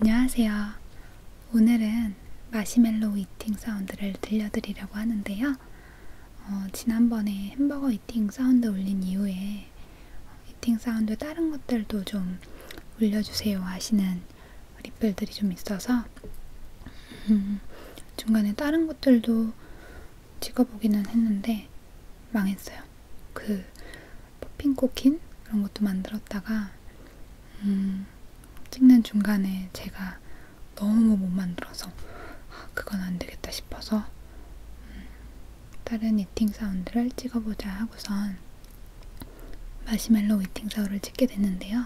안녕하세요. 오늘은 마시멜로 이팅 사운드를 들려드리려고 하는데요. 어, 지난번에 햄버거 이팅 사운드 올린 이후에 이팅 사운드 다른 것들도 좀 올려주세요 하시는 리플들이 좀 있어서 음, 중간에 다른 것들도 찍어보기는 했는데 망했어요. 그 포핑코킨 그런 것도 만들었다가 음, 찍는 중간에 제가 너무 못 만들어서 아, 그건 안 되겠다 싶어서 음, 다른 이팅 사운드를 찍어보자 하고선 마시멜로 이팅 사운드를 찍게 됐는데요.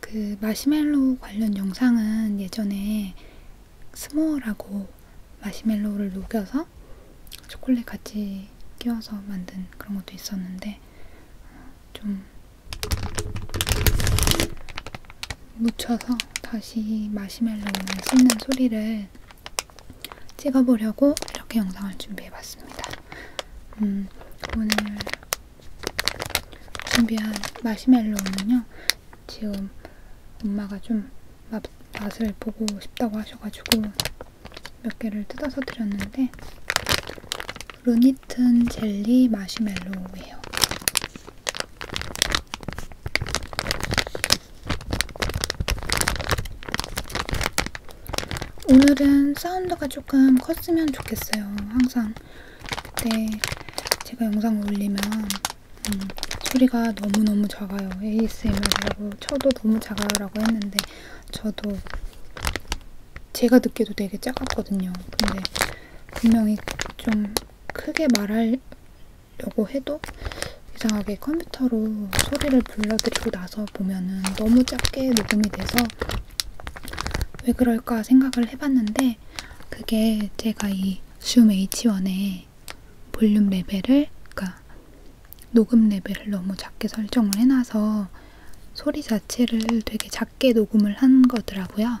그 마시멜로 관련 영상은 예전에 스모어라고 마시멜로를 녹여서 초콜릿 같이 끼워서 만든 그런 것도 있었는데 어, 좀 묻혀서 다시 마시멜로우를 씹는 소리를 찍어보려고 이렇게 영상을 준비해봤습니다. 음, 오늘 준비한 마시멜로우는요. 지금 엄마가 좀 맛, 맛을 보고 싶다고 하셔가지고 몇 개를 뜯어서 드렸는데 루니튼 젤리 마시멜로우예요. 오늘은 사운드가 조금 컸으면 좋겠어요. 항상 그때 제가 영상 올리면 음, 소리가 너무너무 작아요. ASMR이라고 쳐도 또 너무 작아요라고 했는데 저도 제가 듣기도 되게 작았거든요. 근데 분명히 좀 크게 말하려고 해도 이상하게 컴퓨터로 소리를 불러드리고 나서 보면은 너무 작게 녹음이 돼서 왜 그럴까 생각을 해봤는데 그게 제가 이줌 H1에 이제 볼륨 레벨을, 그러니까 녹음 레벨을 너무 작게 설정을 해놔서 소리 자체를 되게 작게 녹음을 한 거더라고요.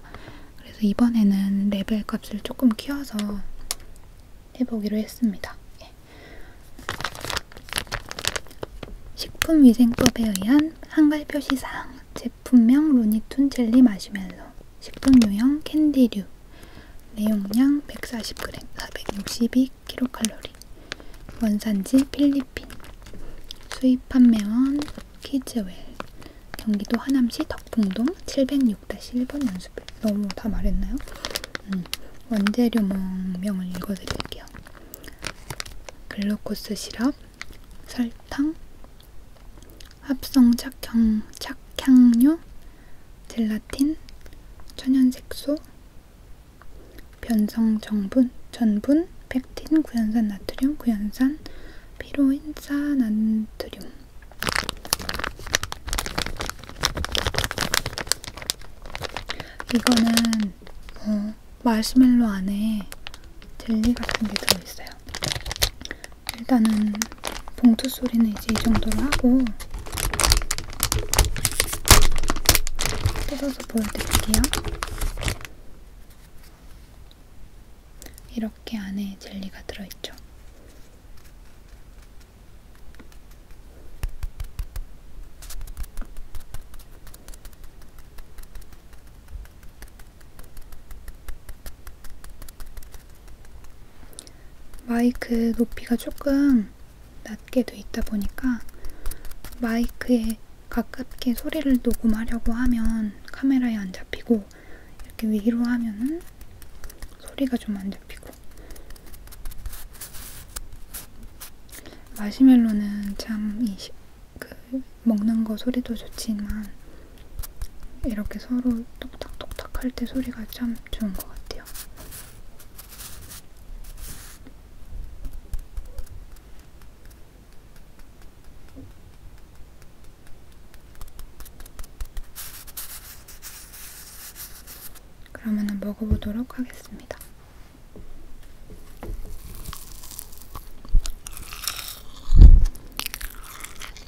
그래서 이번에는 레벨 값을 조금 키워서 해보기로 했습니다. 예. 식품위생법에 의한 한글 표시사항 제품명 루니툰 젤리 마시멜로 식품 유형 캔디류 내용량 140g 462kcal 원산지 필리핀 수입 판매원 키즈웰 경기도 하남시 덕풍동 706-1번 연수별 너무 다 말했나요? 음, 원재료 명을 읽어드릴게요. 글루코스 시럽, 설탕, 합성 착향, 착향류, 젤라틴, 천연색소, 변성정분, 전분, 팩틴, 구연산 나트륨, 구연산, 피로인, 사나트륨 이거는 뭐 마시멜로 안에 젤리 같은 게 들어있어요. 일단은 봉투 소리는 이제 이 정도로 하고 뜯어서 보여드릴게요. 이렇게 안에 젤리가 들어있죠. 마이크 높이가 조금 낮게 돼 있다 보니까 마이크에 가깝게 소리를 녹음하려고 하면 카메라에 안 잡히고 이렇게 위로 하면은 소리가 좀 안 잡히고 마시멜로는 참이 그 먹는 거 소리도 좋지만 이렇게 서로 똑딱똑딱 할 때 소리가 참 좋은 것 같아요. 그러면은 먹어보도록 하겠습니다.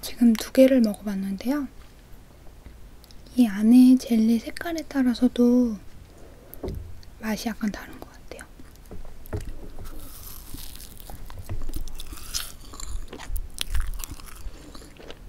지금 두 개를 먹어봤는데요. 이 안에 젤리 색깔에 따라서도 맛이 약간 다른 것 같아요.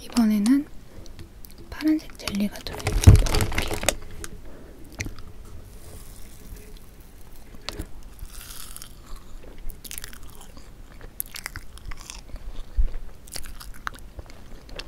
이번에는 파란색 젤리가 들어있는 거 먹어볼게요.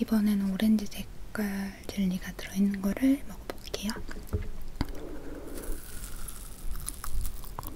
이번에는 오렌지 색깔 젤리가 들어있는 거를 먹어볼게요.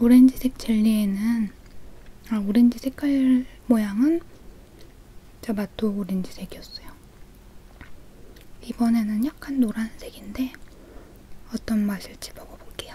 오렌지색 젤리에는 아, 오렌지 색깔 모양은 자마토 오렌지색이었어요. 이번에는 약간 노란색인데 어떤 맛일지 먹어볼게요.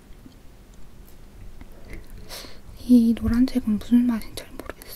이 노란색은 무슨 맛인지 잘 모르겠어요.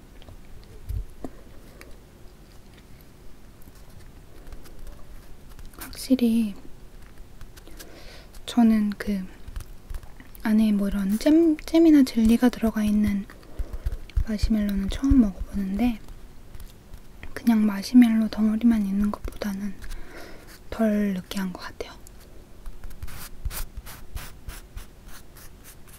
확실히 저는 그 안에 뭐 이런 잼, 잼이나 젤리가 들어가 있는 마시멜로는 처음 먹어보는데 그냥 마시멜로 덩어리만 있는 것보다는 덜 느끼한 것 같아요.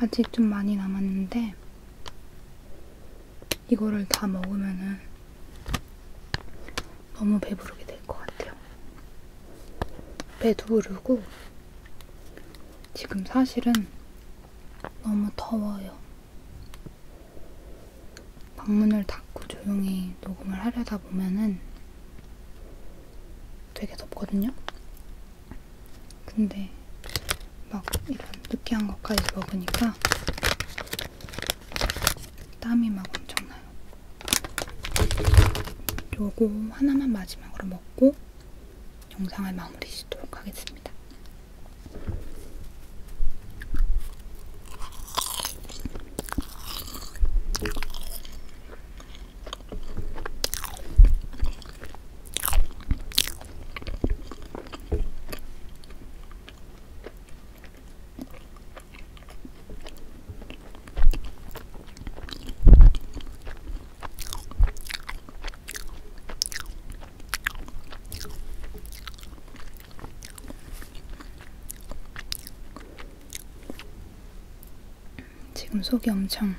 아직 좀 많이 남았는데 이거를 다 먹으면은 너무 배부르게 될 것 같아요. 배도 부르고 지금 사실은 너무 더워요. 방문을 닫고 조용히 녹음을 하려다 보면은 되게 덥거든요? 근데 막 이런 느끼한 것까지 먹으니까 땀이 막 엄청나요. 요거 하나만 마지막으로 먹고 영상을 마무리 짓도록 하겠습니다. 지금 속이 엄청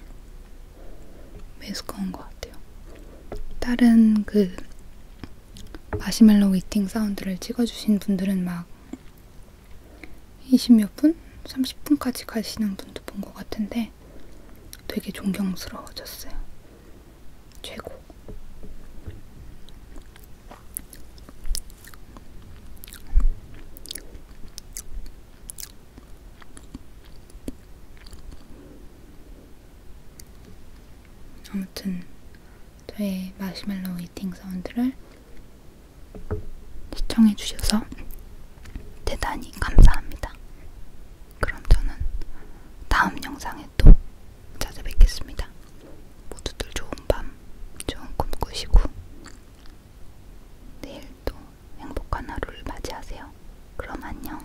메스꺼운 것 같아요. 다른 그 마시멜로 위팅 사운드를 찍어주신 분들은 막 20몇 분? 30분까지 가시는 분도 본 것 같은데 되게 존경스러워졌어요. 최고. 아무튼 저의 마시멜로우 이팅 사운드를 시청해주셔서 대단히 감사합니다. 그럼 저는 다음 영상에 또 찾아뵙겠습니다. 모두들 좋은 밤, 좋은 꿈 꾸시고 내일 또 행복한 하루를 맞이하세요. 그럼 안녕.